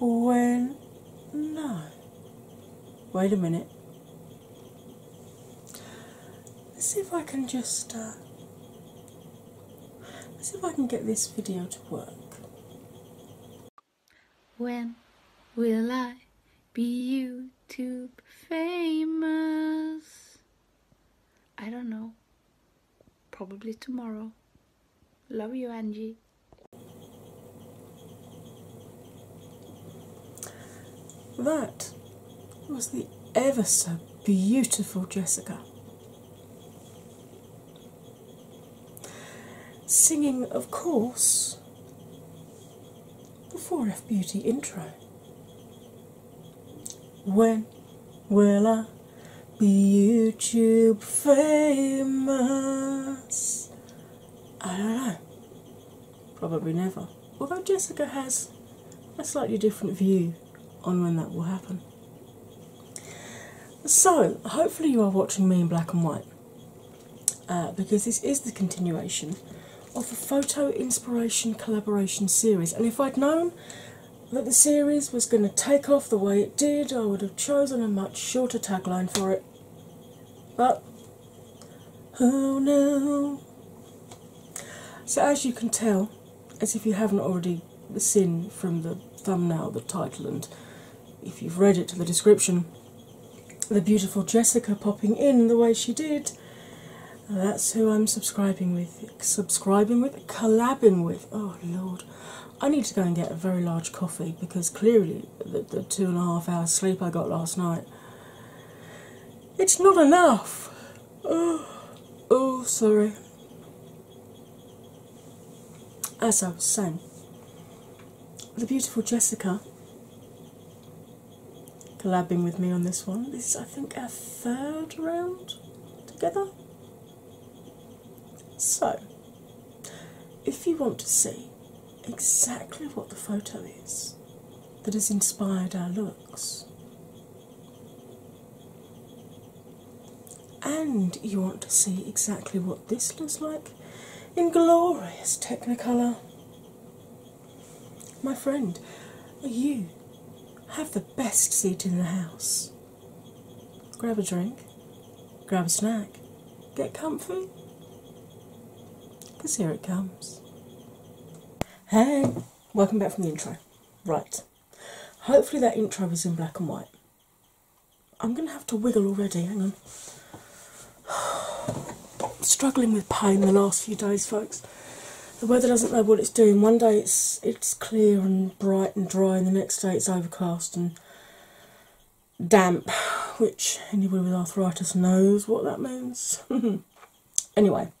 when no. Wait a minute. Let's see if I can just. Uh, let's see if I can get this video to work. When will I be YouTube famous? I don't know. Probably tomorrow. Love you, Angie. That was the ever so beautiful Jessica. Singing, of course, the 4F Beauty intro. When will I be YouTube famous? I don't know. Probably never. Although Jessica has a slightly different view on when that will happen. So, hopefully, you are watching me in black and white uh, because this is the continuation of the Photo Inspiration Collaboration series. And if I'd known that the series was going to take off the way did, I would have chosen a much shorter tagline for it. But who knows? So, as you can tell, as if you haven't already seen from the thumbnail, the title, and if you've read it to the description, the beautiful Jessica popping in the way she did. That's who I'm subscribing with. Subscribing with? Collabing with. Oh, Lord. I need to go and get a very large coffee because clearly the, two and a half hours sleep I got last night it's not enough. Oh, oh sorry. As I was saying, the beautiful Jessica collabing with me on this one. This is I think our third round together. So, if you want to see exactly what the photo is that has inspired our looks, and you want to see exactly what this looks like inglorious Technicolor, my friend, you have the best seat in the house. Grab a drink, grab a snack, get comfy. 'Cause here it comes. Hey, welcome back from the intro. Right, hopefully that intro was in black and white. I'm going to have to wiggle already, hang on. struggling with pain the last few days, folks. The weather doesn't know what it's doing. One day it's it's clear and bright and dry, and the next day it's overcast and damp, which anybody with arthritis knows what that means. anyway,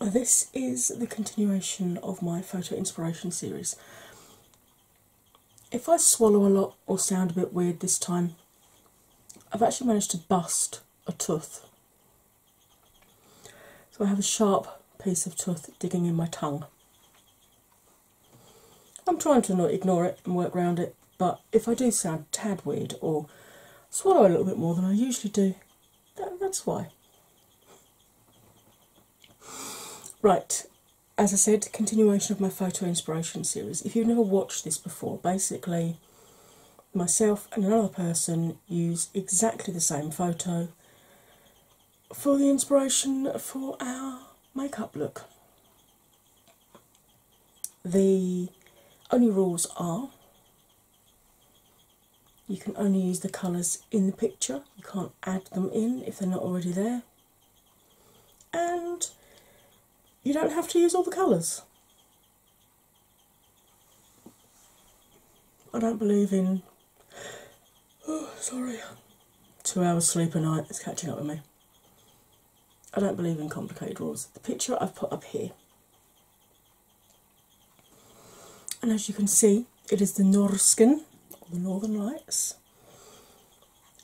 this is the continuation of my photo inspiration series. If I swallow a lot or sound a bit weird this time, I've actually managed to bust a tooth. So I have a sharp piece of tooth digging in my tongue. I'm trying to ignore it and work around it, but if I do sound tad weird or swallow a little bit more than I usually do, that's why. Right, as I said, continuation of my photo inspiration series. If you've never watched this before, basically, myself and another person use exactly the same photo for the inspiration for our makeup look. The only rules are you can only use the colours in the picture, you can't add them in if they're not already there, and you don't have to use all the colours. I don't believe in Oh, sorry. Two hours sleep a night is catching up with me. I don't believe in complicated rules. The picture I've put up here, and as you can see, it is the Norskin, the Northern Lights.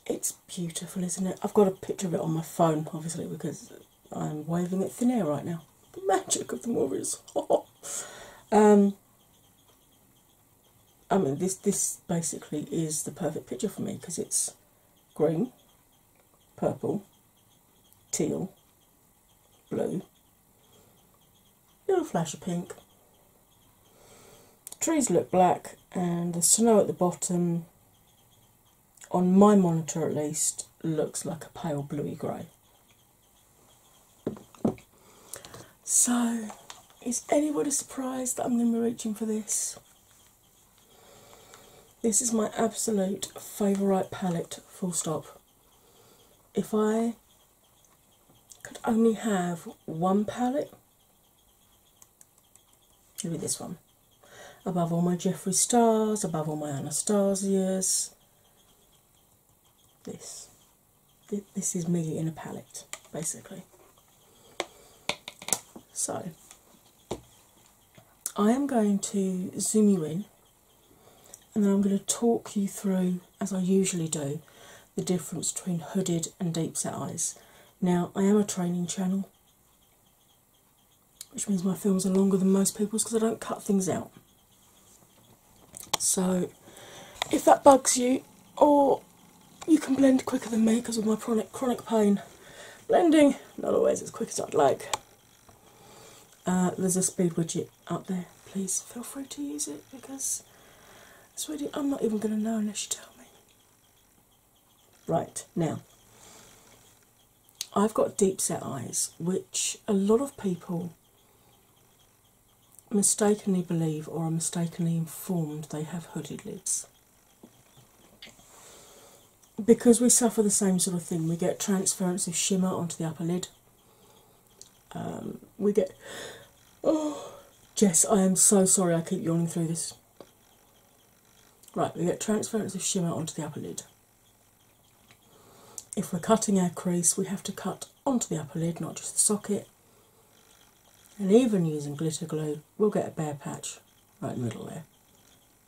It's beautiful, isn't it? I've got a picture of it on my phone, obviously, because I'm waving at thin air right now. The magic of the movies. um, I mean, this this basically is the perfect picture for me because it's green, purple, teal, blue, little flash of pink. Trees look black, and the snow at the bottom, on my monitor at least, looks like a pale bluey grey. So, is anybody surprised that I'm going to be reaching for this? This is my absolute favourite palette, full stop. If I could only have one palette, it would be this one. Above all my Jeffree Stars, above all my Anastasias, this this is me in a palette, basically. So, I am going to zoom you in and then I'm going to talk you through, as I usually do, the difference between hooded and deep set eyes. Now, I am a training channel, which means my films are longer than most people's because I don't cut things out. So, if that bugs you, or you can blend quicker than me because of my chronic, chronic pain. Blending, not always as quick as I'd like. Uh, there's a speed widget up there. Please feel free to use it because sweetie, I'm not even going to know unless you tell me. Right, now, I've got deep set eyes, which a lot of people mistakenly believe or are mistakenly informed they have hooded lids. Because we suffer the same sort of thing, we get transference of shimmer onto the upper lid. Um, we get. Oh, Jess, I am so sorry I keep yawning through this. Right, we get transference of shimmer onto the upper lid. If we're cutting our crease, we have to cut onto the upper lid, not just the socket. And even using glitter glue, we'll get a bare patch right in the middle there.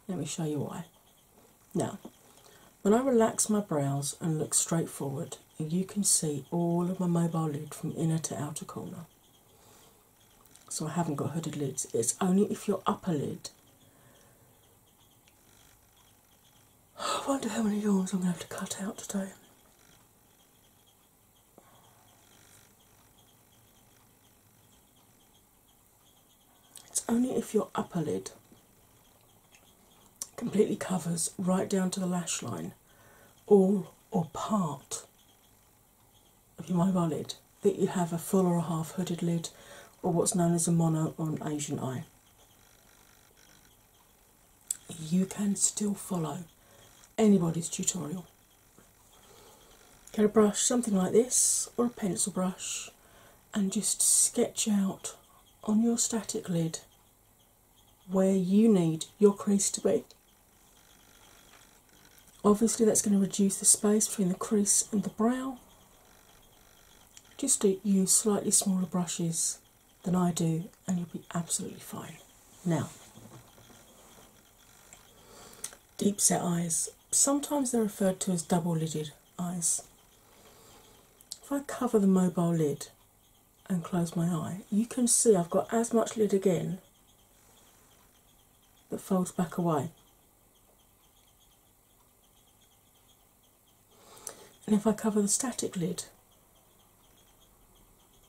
Let me show you why. Now, when I relax my brows and look straight forward, you can see all of my mobile lid from inner to outer corner. So I haven't got hooded lids. It's only if your upper lid. I wonder how many yawns I'm going to have to cut out today. It's only if your upper lid completely covers right down to the lash line all or part of your mobile lid that you have a full or a half hooded lid or what's known as a mono or an Asian eye you can still follow anybody's tutorial. Get a brush, something like this, or a pencil brush, and just sketch out on your static lid where you need your crease to be. Obviously, that's going to reduce the space between the crease and the brow. Just use slightly smaller brushes than I do, and you'll be absolutely fine. Now, deep set eyes, sometimes they're referred to as double lidded eyes. If I cover the mobile lid and close my eye, you can see I've got as much lid again that folds back away. And if I cover the static lid,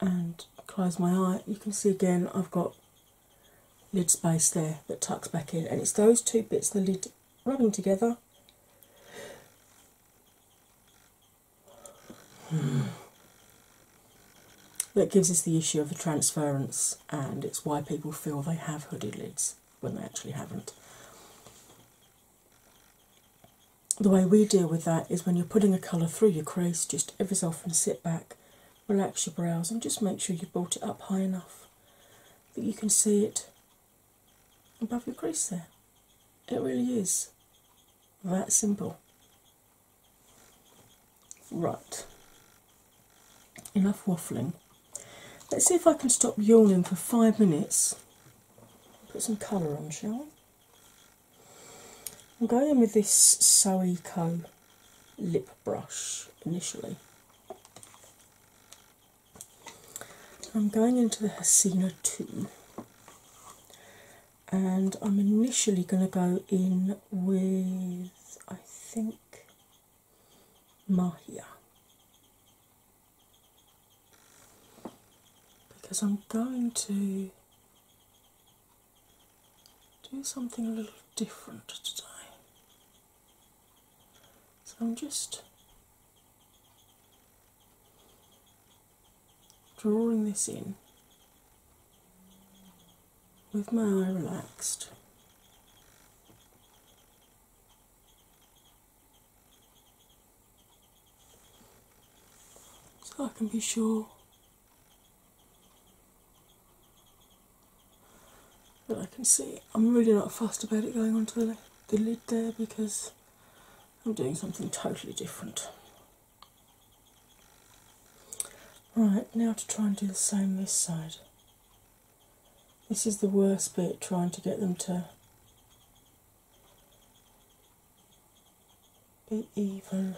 and close my eye, you can see again I've got lid space there that tucks back in, and it's those two bits the lid rubbing together. Hmm. That gives us the issue of the transference, and it's why people feel they have hooded lids when they actually haven't the way we deal with that is when you're putting a colour through your crease, just every so often sit back, relax your brows, and just make sure you've brought it up high enough that you can see it above your crease there. It really is that simple. Right, enough waffling. Let's see if I can stop yawning for five minutes. Put some colour on, shall I? I'm going with this Soeco lip brush initially. I'm going into the Hasina too, and I'm initially going to go in with, I think, Mahia. Because I'm going to do something a little different today. So I'm just drawing this in with my eye relaxed. So I can be sure but I can see I'm really not fast about it going onto the, the lid there because I'm doing something totally different. Right, now to try and do the same this side. This is the worst bit trying to get them to be even.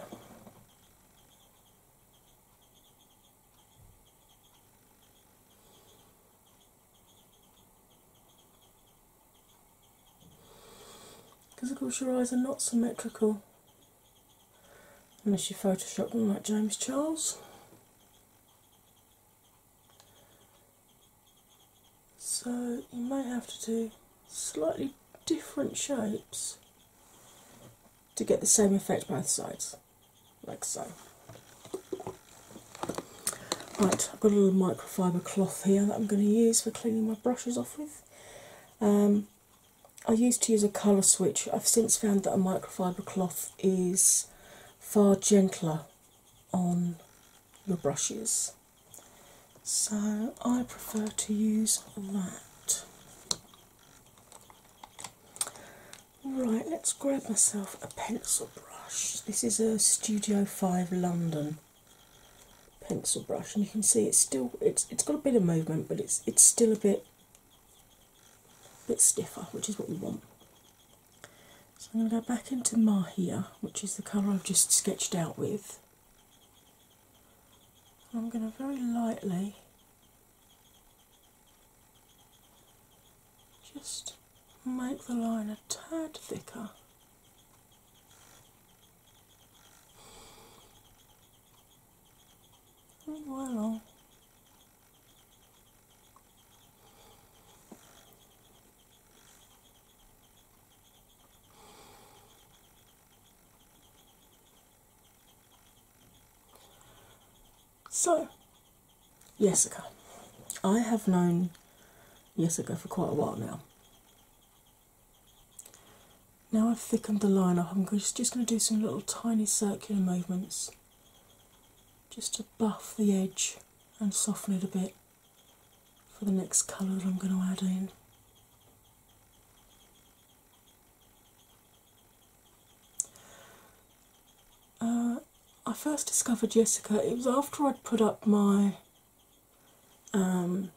Because of course your eyes are not symmetrical unless you Photoshop them like James Charles. So you might have to do slightly different shapes to get the same effect both sides, like so. Right, I've got a little microfiber cloth here that I'm going to use for cleaning my brushes off with. Um, I used to use a colour switch. I've since found that a microfiber cloth is far gentler on the brushes so I prefer to use that. Right, let's grab myself a pencil brush. This is a Studio 5 London pencil brush, and you can see it's still it's it's got a bit of movement, but it's it's still a bit a bit stiffer, which is what we want. So I'm going to go back into Mahia, which is the colour I've just sketched out with, I'm going to very lightly just make the line a tad thicker. All oh, so, Jessica. I have known Jessica for quite a while now. Now I've thickened the line up, I'm just, just going to do some little tiny circular movements just to buff the edge and soften it a bit for the next colour that I'm going to add in. Uh, I first discovered Jessica, it was after I'd put up my um,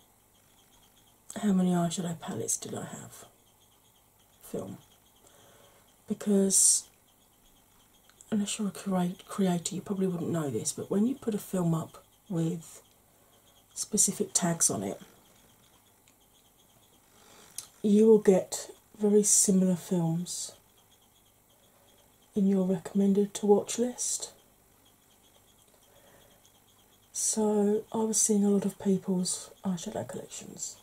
How Many Eyeshadow Palettes Did I Have film because unless you're a creator, you probably wouldn't know this, but when you put a film up with specific tags on it, you will get very similar films in your recommended to watch list. So I was seeing a lot of people's eyeshadow collections.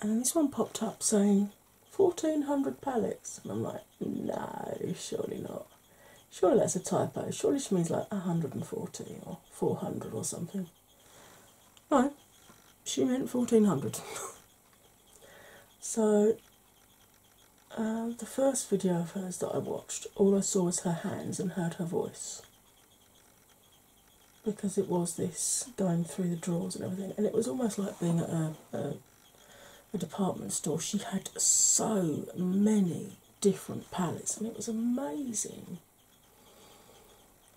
And this one popped up saying 1400 palettes, and I'm like, no, surely not. Surely that's a typo. Surely she means like 140 or 400 or something. No, she meant 1400. so, uh, the first video of hers that I watched, all I saw was her hands and heard her voice. Because it was this going through the drawers and everything, and it was almost like being at a, a department store. She had so many different palettes, and it was amazing.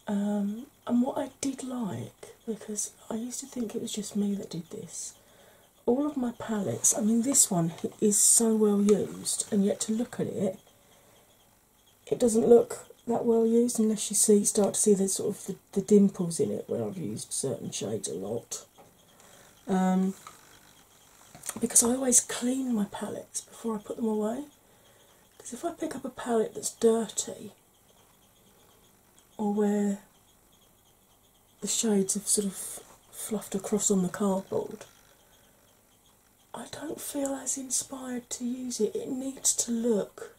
Um, and what I did like, because I used to think it was just me that did this, all of my palettes, I mean, this one is so well used, and yet to look at it, it doesn't look that well used unless you see start to see the sort of the, dimples in it where I've used certain shades a lot. Um, because I always clean my palettes before I put them away. Because if I pick up a palette that's dirty, or where the shades have sort of fluffed across on the cardboard, I don't feel as inspired to use it. It needs to look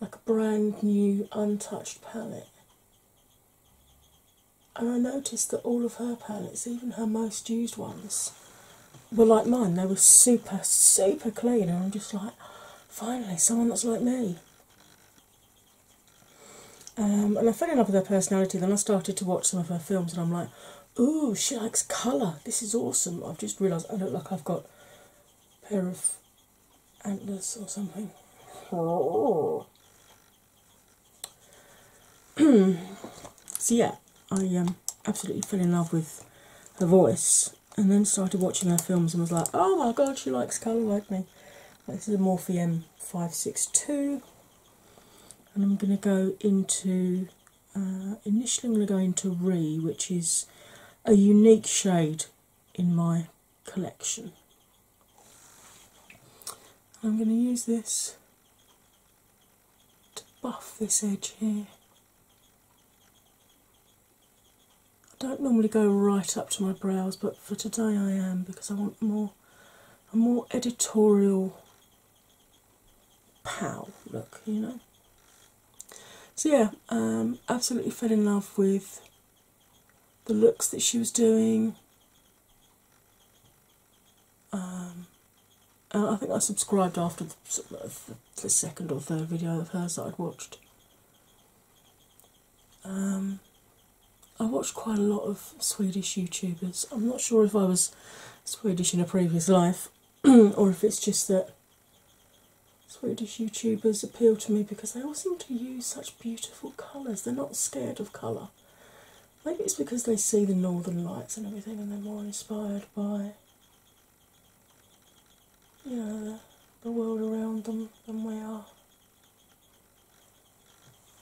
like a brand new, untouched palette and I noticed that all of her palettes, even her most used ones, were like mine. They were super, super clean, and I'm just like, finally, someone that's like me. Um, and I fell in love with her personality. Then I started to watch some of her films, and I'm like, ooh, she likes colour. This is awesome. I've just realised I look like I've got a pair of antlers or something. Oh. so yeah, I um, absolutely fell in love with her voice, and then started watching her films and was like, oh my god, she likes colour like me. This is a Morphe M562, and I'm going to go into. Uh, initially, I'm going to go into Re, which is a unique shade in my collection. I'm going to use this to buff this edge here. I don't normally go right up to my brows, but for today I am because I want more a more editorial pow look, you know. So yeah, um, absolutely fell in love with the looks that she was doing, um, uh, I think I subscribed after uh, the, second or third video of hers that I'd watched. Um, I watched quite a lot of Swedish YouTubers. I'm not sure if I was Swedish in a previous life or if it's just that Swedish YouTubers appeal to me because they all seem to use such beautiful colours. They're not scared of colour. Maybe it's because they see the northern lights and everything and they're more inspired by you know the, world around them than we are.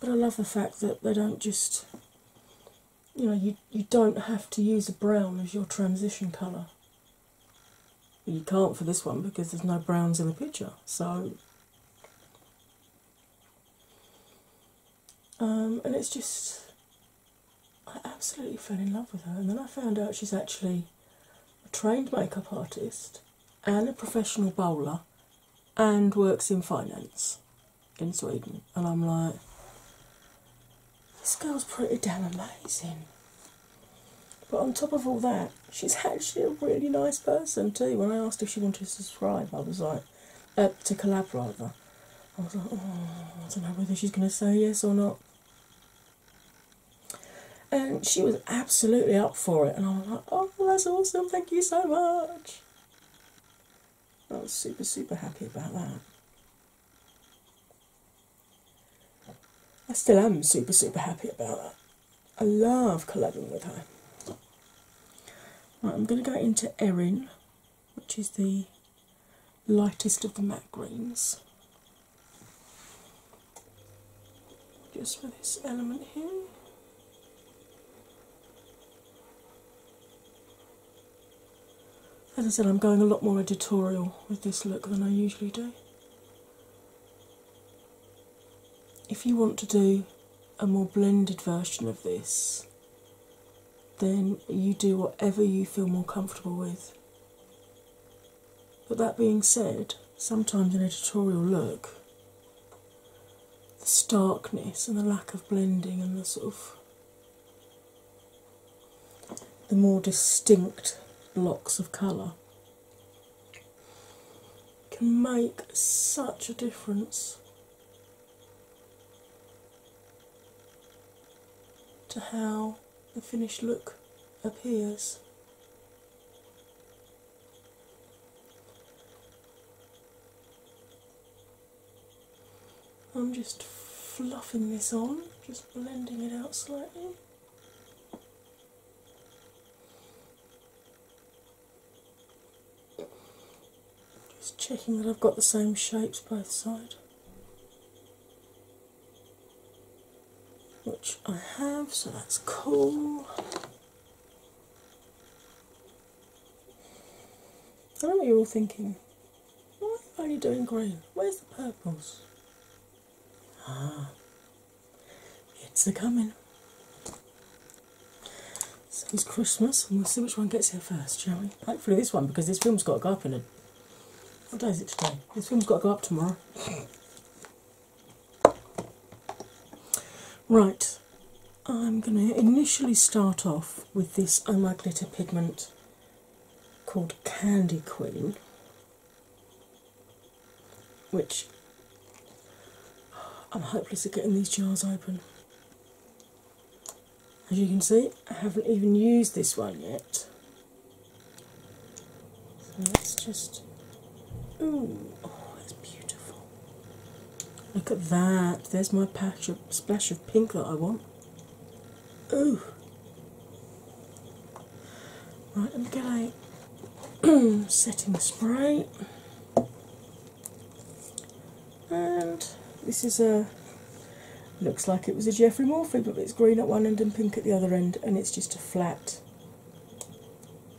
But I love the fact that they don't just you know you you don't have to use a brown as your transition colour. You can't for this one because there's no browns in the picture. So um, and it's just, I absolutely fell in love with her. And then I found out she's actually a trained makeup artist and a professional bowler and works in finance in Sweden. And I'm like, this girl's pretty damn amazing. But on top of all that, she's actually a really nice person too. When I asked if she wanted to subscribe, I was like, up uh, to collab rather. I was like, oh, I don't know whether she's going to say yes or not. And she was absolutely up for it, and I was like, oh, that's awesome, thank you so much. I was super, super happy about that. I still am super, super happy about that. I love collabing with her. I'm going to go into Erin, which is the lightest of the matte greens, just for this element here. As I said, I'm going a lot more editorial with this look than I usually do. If you want to do a more blended version of this, then you do whatever you feel more comfortable with. But that being said, sometimes in a tutorial look, the starkness and the lack of blending and the sort of the more distinct blocks of colour can make such a difference to how the finished look appears. I'm just fluffing this on, just blending it out slightly. Just checking that I've got the same shapes both sides, which I have, so that's cool. I know what you're all thinking. Why are you doing green? Where's the purples? Ah, it's a coming it's Christmas, and we'll see which one gets here first, shall we? Hopefully, this one because this film's got to go up in a. What day is it today? This film's got to go up tomorrow. Right, I'm going to initially start off with this Oh pigment called Candy Queen, which I'm hopeless at getting these jars open. As you can see, I haven't even used this one yet. let's just. Ooh, oh, it's beautiful. Look at that. There's my splash of pink that I want. Ooh. Right, let me get a setting spray. And this is a looks like it was a Geoffrey Morphy, but it's green at one end and pink at the other end, and it's just a flat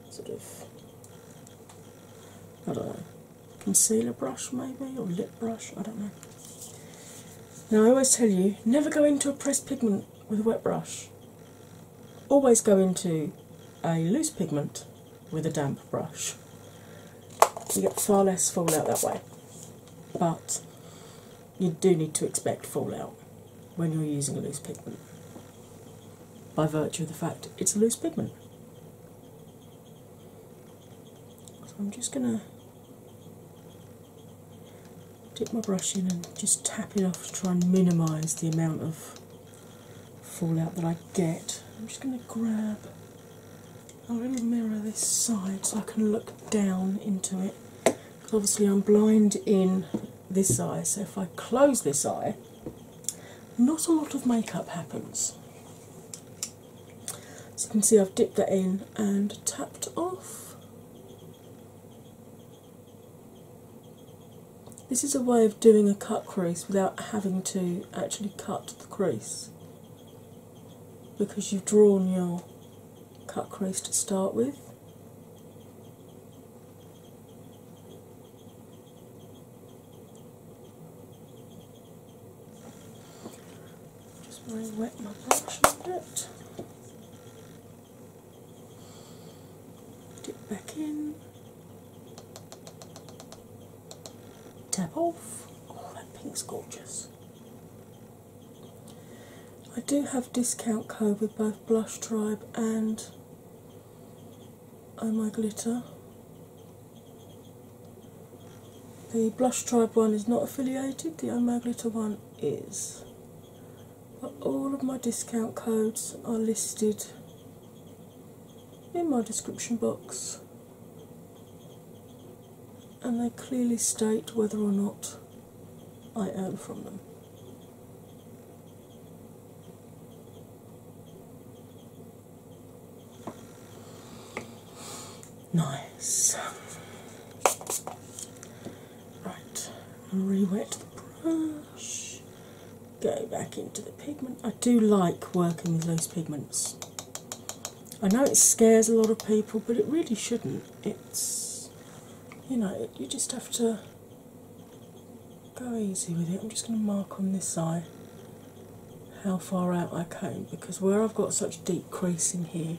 sort of I don't know concealer brush maybe or lip brush. I don't know. Now I always tell you never go into a pressed pigment with a wet brush. Always go into a loose pigment with a damp brush. You get far less fallout that way, but you do need to expect fallout when you're using a loose pigment by virtue of the fact it's a loose pigment. I'm just going to dip my brush in and just tap it off to try and minimise the amount of fallout that I get. I'm just going to grab a little mirror this side so I can look down into it. obviously I'm blind in this eye, so if I close this eye, not a lot of makeup happens. So you can see I've dipped that in and tapped off. This is a way of doing a cut crease without having to actually cut the crease because you've drawn your cut crease to start with. Just want wet my brush a bit. Dip back in. Tap off. Oh, that pink's gorgeous. I do have discount code with both Blush Tribe and Oh My Glitter. The Blush Tribe one is not affiliated, the Oh My Glitter one is. But all of my discount codes are listed in my description box, and they clearly state whether or not I earn from them. Nice. Right, re the brush go back into the pigment. I do like working with those pigments. I know it scares a lot of people, but it really shouldn't. It's, you know, you just have to go easy with it. I'm just going to mark on this eye how far out I came because where I've got such deep creasing here,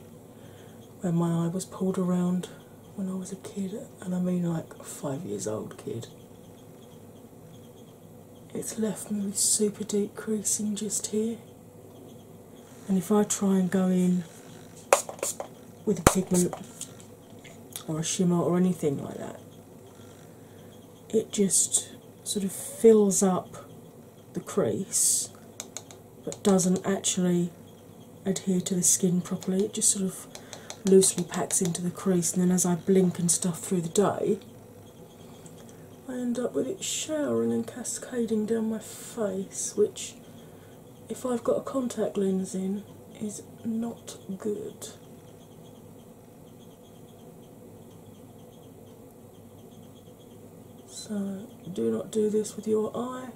where my eye was pulled around when I was a kid, and I mean like a five years old kid it's left me super deep creasing just here. And if I try and go in with a pigment or a shimmer or anything like that, it just sort of fills up the crease but doesn't actually adhere to the skin properly. It just sort of loosely packs into the crease, and then as I blink and stuff through the day, I end up with it showering and cascading down my face, which, if I've got a contact lens in, is not good. So, do not do this with your eye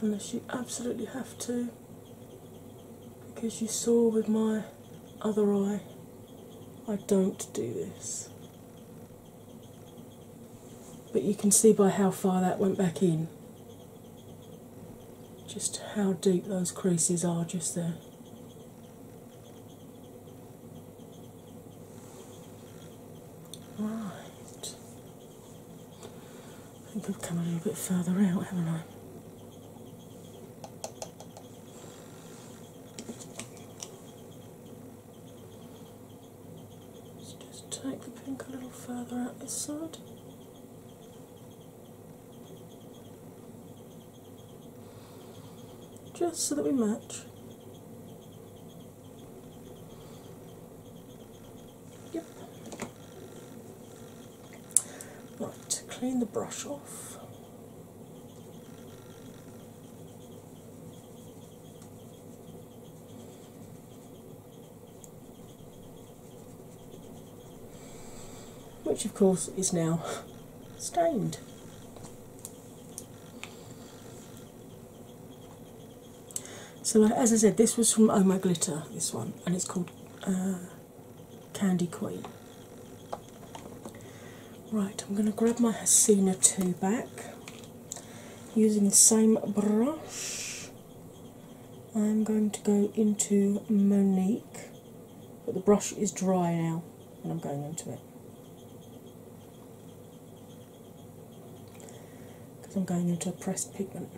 unless you absolutely have to, because you saw with my other eye. I don't do this. But you can see by how far that went back in just how deep those creases are just there. Right. I think I've come a little bit further out, haven't I? Just take the pink a little further out this side. Just so that we match. Yep. Right, clean the brush off which of course is now stained. So, as I said, this was from Oh My Glitter, this one, and it's called uh, Candy Queen. Right, I'm going to grab my Hasina 2 back using the same brush. I'm going to go into Monique, but the brush is dry now and I'm going into it. Because I'm going into a pressed pigment.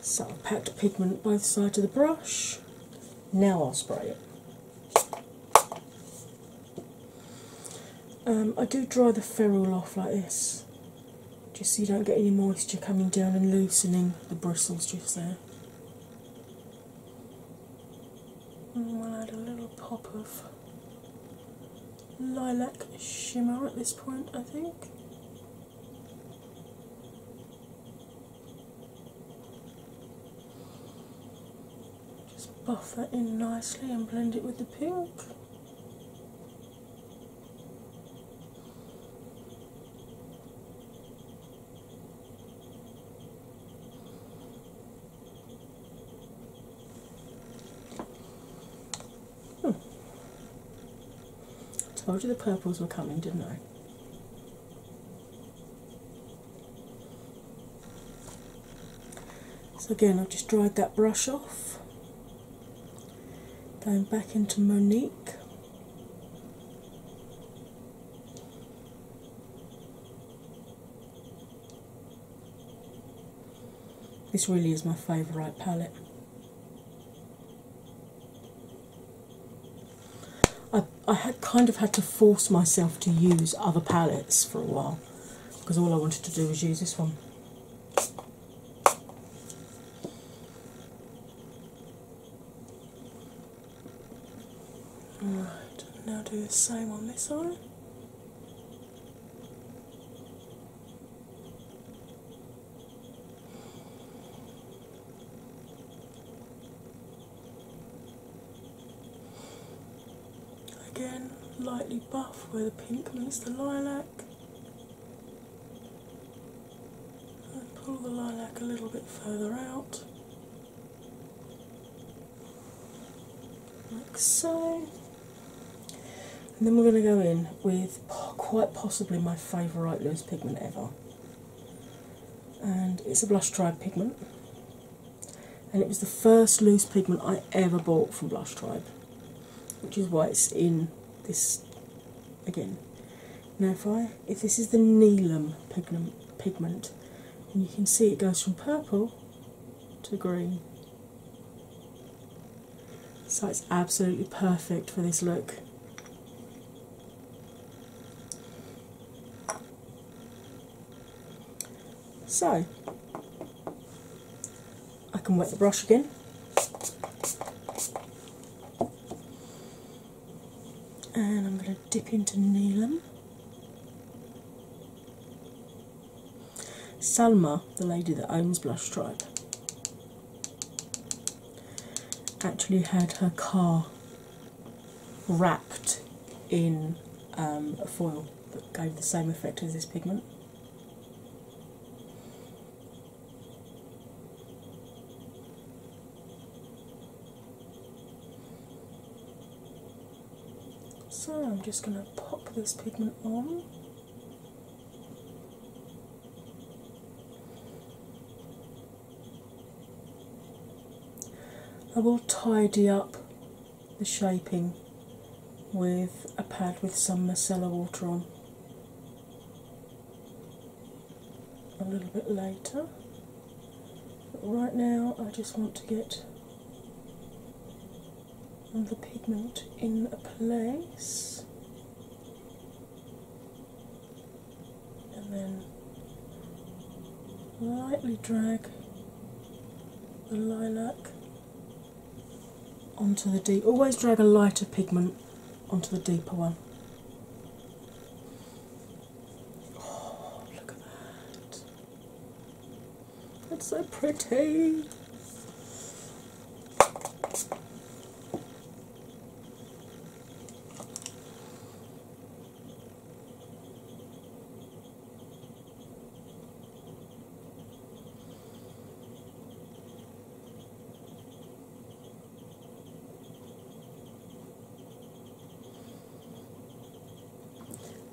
So I've packed pigment both sides of the brush. Now I'll spray it. Um, I do dry the ferrule off like this, just so you don't get any moisture coming down and loosening the bristles just there. And we'll add a little pop of lilac shimmer at this point, I think. Just buff that in nicely and blend it with the pink. Hmm. Told you the purples were coming, didn't I? So, again, I've just dried that brush off. Going back into Monique. This really is my favourite palette. I, I had kind of had to force myself to use other palettes for a while because all I wanted to do was use this one. Alright, now do the same on this eye. Again, lightly buff where the pink meets the lilac. And pull the lilac a little bit further out, like so. And then we're going to go in with quite possibly my favourite loose pigment ever and it's a Blush Tribe pigment. And it was the first loose pigment I ever bought from Blush Tribe, which is why it's in this again. Now, if I if this is the Neelam pigment, pigment, and you can see it goes from purple to green. So it's absolutely perfect for this look. So I can wet the brush again. And I'm going to dip into Neelam. Salma, the lady that owns Blush Tribe, actually had her car wrapped in um, a foil that gave the same effect as this pigment. So I'm just going to pop this pigment on. I will tidy up the shaping with a pad with some micellar water on a little bit later. But right now, I just want to get the pigment in place and then lightly drag the lilac onto the deep. Always drag a lighter pigment onto the deeper one. Oh, look at that. That's so pretty.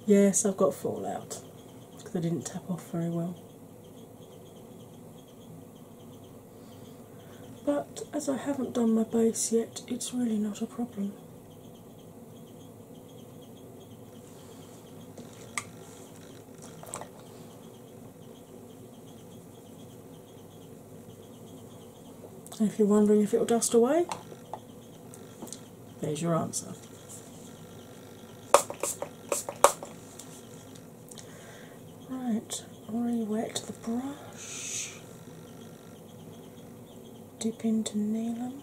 Yes, I've got fallout because I didn't tap off very well. But as I haven't done my base yet, it's really not a problem. if you're wondering if it'll dust away, there's your answer. Right, re-wet the brush. Dip into Neelam.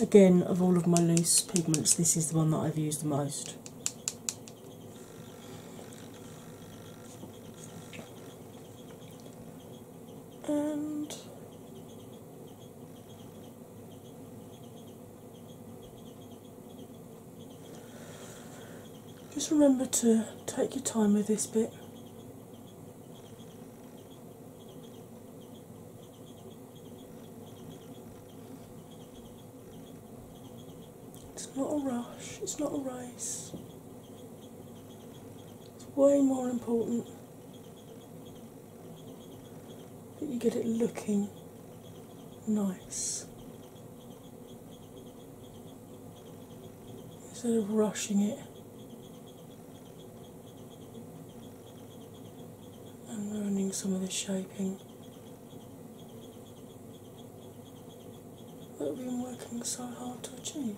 Again, of all of my loose pigments, this is the one that I've used the most. And just remember to take your time with this bit. It's not a rush, it's not a race. It's way more important that you get it looking nice instead of rushing it and ruining some of the shaping that we've been working so hard to achieve.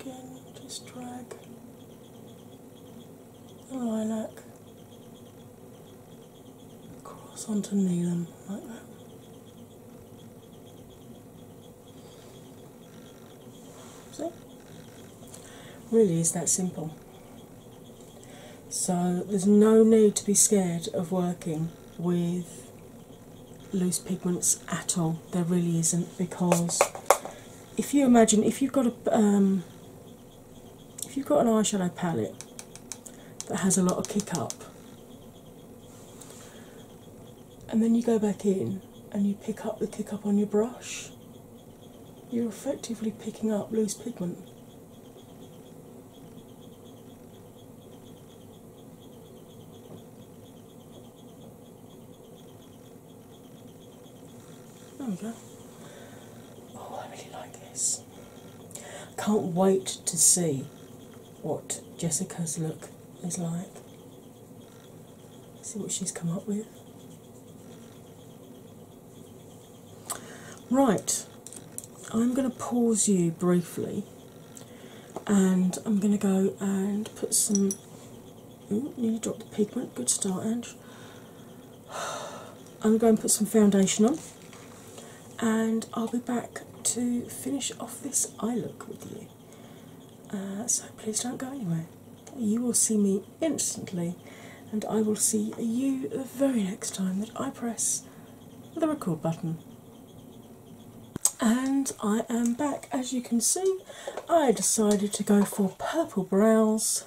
Again, just drag Oh, Line up. Cross onto Neelam like that. See? Really is that simple. So there's no need to be scared of working with loose pigments at all. There really isn't because if you imagine if you've got a um, if you've got an eyeshadow palette that has a lot of kick up, and then you go back in and you pick up the kick up on your brush, you're effectively picking up loose pigment. There Oh, I really like this. Can't wait to see what Jessica's look is like. See what she's come up with. Right, I'm going to pause you briefly and I'm going to go and put some. You dropped the pigment, good start, I'm going to put some foundation on, and I'll be back to finish off this eye look with you. Uh, so please don't go anywhere. You will see me instantly, and I will see you the very next time that I press the record button. And I am back. As you can see, I decided to go for purple brows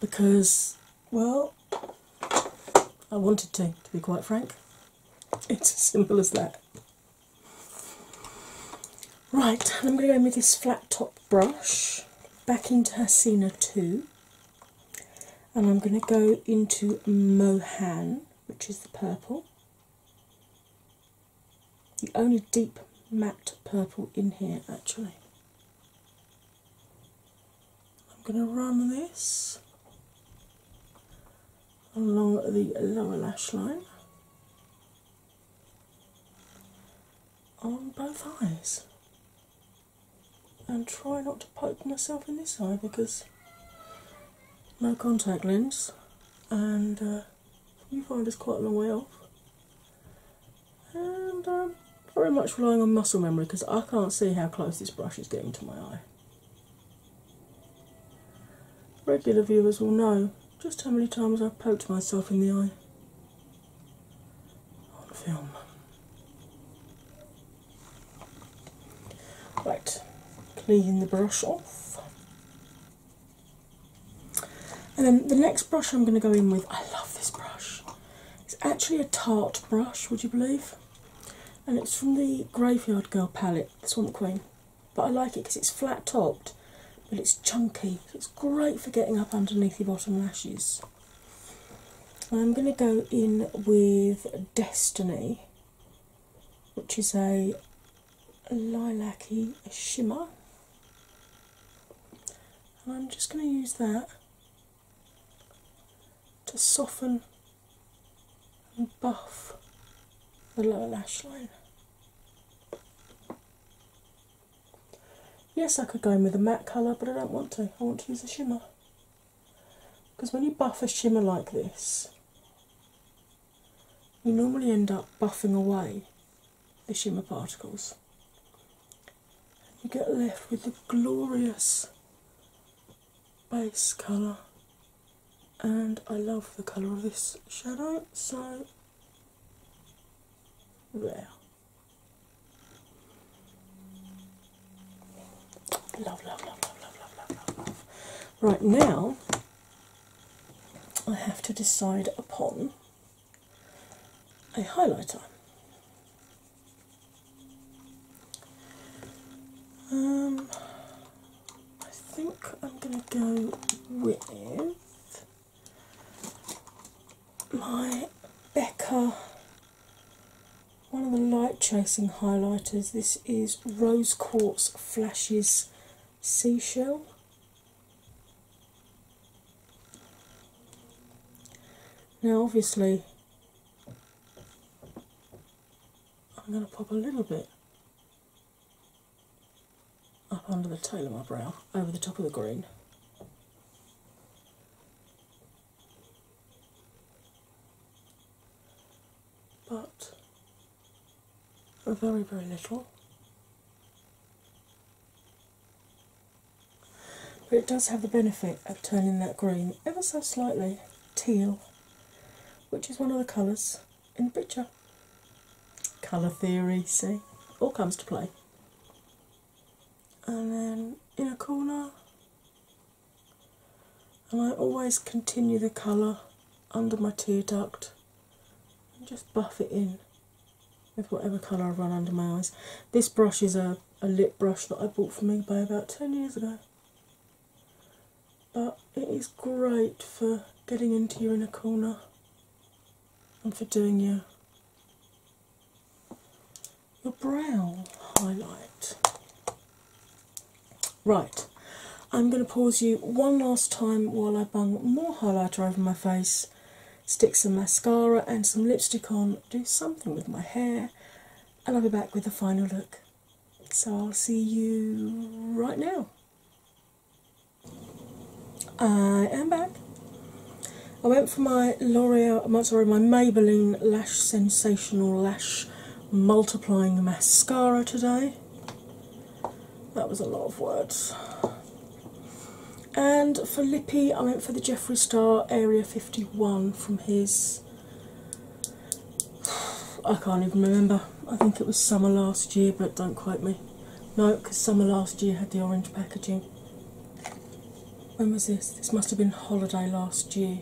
because, well, I wanted to, to be quite frank. It's as simple as that. Right, I'm going to go with this flat top brush back into Hasina 2, and I'm going to go into Mohan, which is the purple. The only deep matte purple in here, actually. I'm going to run this along the lower lash line on both eyes and try not to poke myself in this eye because no contact lens and uh, you find us quite a long way off and I'm very much relying on muscle memory because I can't see how close this brush is getting to my eye. Regular viewers will know just how many times I've poked myself in the eye on film. Right, clean the brush off. And then the next brush I'm going to go in with, I love this brush. It's actually a tart brush, would you believe? And it's from the Graveyard Girl palette, the Swamp Queen. But I like it because it's flat topped, but it's chunky. it's great for getting up underneath your bottom lashes. I'm going to go in with Destiny, which is a lilac-y shimmer and I'm just going to use that to soften and buff the lower lash line. Yes, I could go in with a matte colour, but I don't want to. I want to use a shimmer. Because when you buff a shimmer like this, you normally end up buffing away the shimmer particles. You get left with the glorious base colour, and I love the colour of this shadow, so there. Love, love, love, love, love, love, love, love, love. Right now, I have to decide upon a highlighter. Um, I think I'm going to go with my Becca, one of the light chasing highlighters. This is Rose Quartz Flashes Seashell. Now, obviously, I'm going to pop a little bit up under the tail of my brow, over the top of the green. But very, very little. But it does have the benefit of turning that green ever so slightly teal, which is one of the colours in the picture. Colour theory, see, all comes to play. And then in a corner, and I always continue the colour under my tear duct and just buff it in with whatever colour I I've run under my eyes. This brush is a, a lip brush that I bought for me by about 10 years ago. But it is great for getting into your inner corner and for doing your your brow highlight. Right, I'm going to pause you one last time while I bung more highlighter over my face stick some mascara and some lipstick on, do something with my hair, and I'll be back with a final look. So I'll see you right now. I am back. I went for my L'Oreal, my, sorry, my Maybelline Lash Sensational Lash Multiplying Mascara today. That was a lot of words. And for lippy, I went for the Jeffrey Star Area 51 from his. I can't even remember. I think it was summer last year, but don't quote me. No, because summer last year had the orange packaging. When was this? This must have been holiday last year.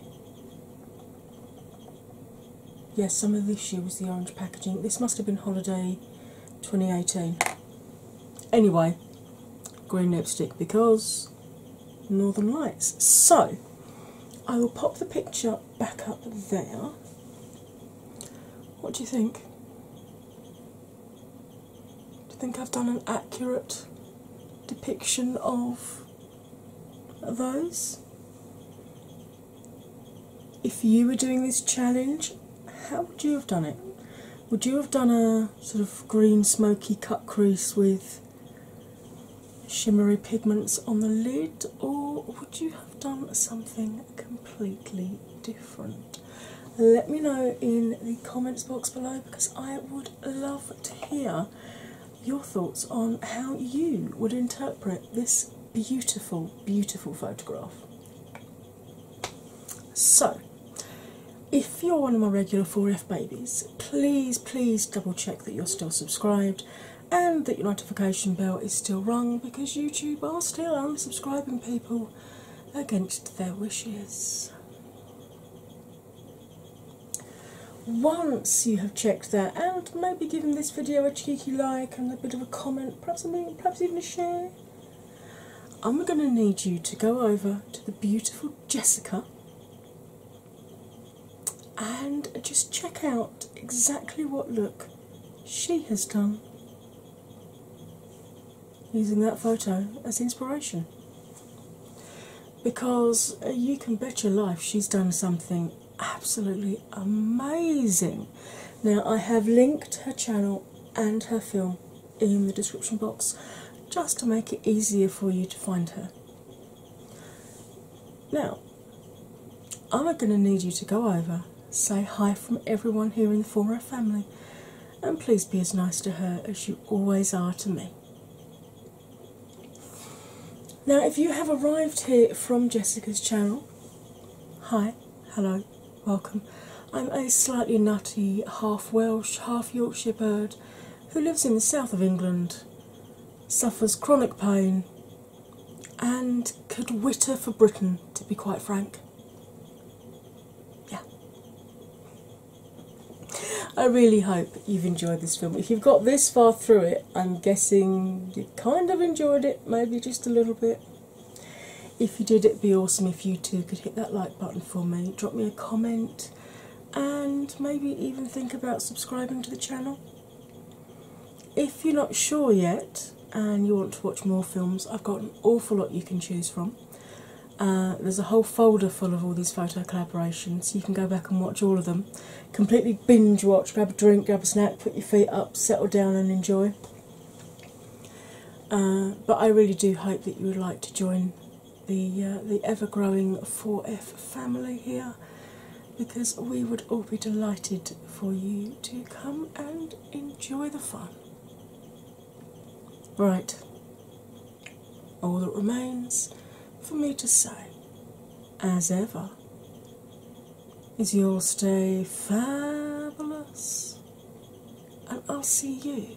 Yes, yeah, summer this year was the orange packaging. This must have been holiday 2018. Anyway, green lipstick because Northern Lights. So I will pop the picture back up there. What do you think? Do you think I've done an accurate depiction of those? If you were doing this challenge, how would you have done it? Would you have done a sort of green smoky cut crease with shimmery pigments on the lid, or would you have done something completely different? Let me know in the comments box below because I would love to hear your thoughts on how you would interpret this beautiful, beautiful photograph. So, if you're one of my regular 4F babies, please, please double check that you're still subscribed and that your notification bell is still rung because YouTube are still unsubscribing people against their wishes. Once you have checked that and maybe given this video a cheeky like and a bit of a comment, perhaps, a, perhaps even a share, I'm going to need you to go over to the beautiful Jessica and just check out exactly what look she has done using that photo as inspiration. Because uh, you can bet your life she's done something absolutely amazing. Now, I have linked her channel and her film in the description box just to make it easier for you to find her. Now, I'm going to need you to go over, say hi from everyone here in the Four family, and please be as nice to her as you always are to me. Now, if you have arrived here from Jessica's channel, hi, hello, welcome. I'm a slightly nutty, half Welsh, half Yorkshire bird who lives in the south of England, suffers chronic pain, and could whitter for Britain, to be quite frank. Yeah. I really hope you've enjoyed this film. If you've got this far through it, I'm guessing you kind of enjoyed it, maybe just a little bit. If you did, it'd be awesome if you two could hit that like button for me, drop me a comment, and maybe even think about subscribing to the channel. If you're not sure yet and you want to watch more films, I've got an awful lot you can choose from. Uh, there's a whole folder full of all these photo collaborations, you can go back and watch all of them. Completely binge watch, grab a drink, grab a snack, put your feet up, settle down, and enjoy. Uh, but I really do hope that you would like to join the uh, the ever-growing 4F family here, because we would all be delighted for you to come and enjoy the fun. Right, all that remains for me to say, as ever, is you'll stay fabulous, and I'll see you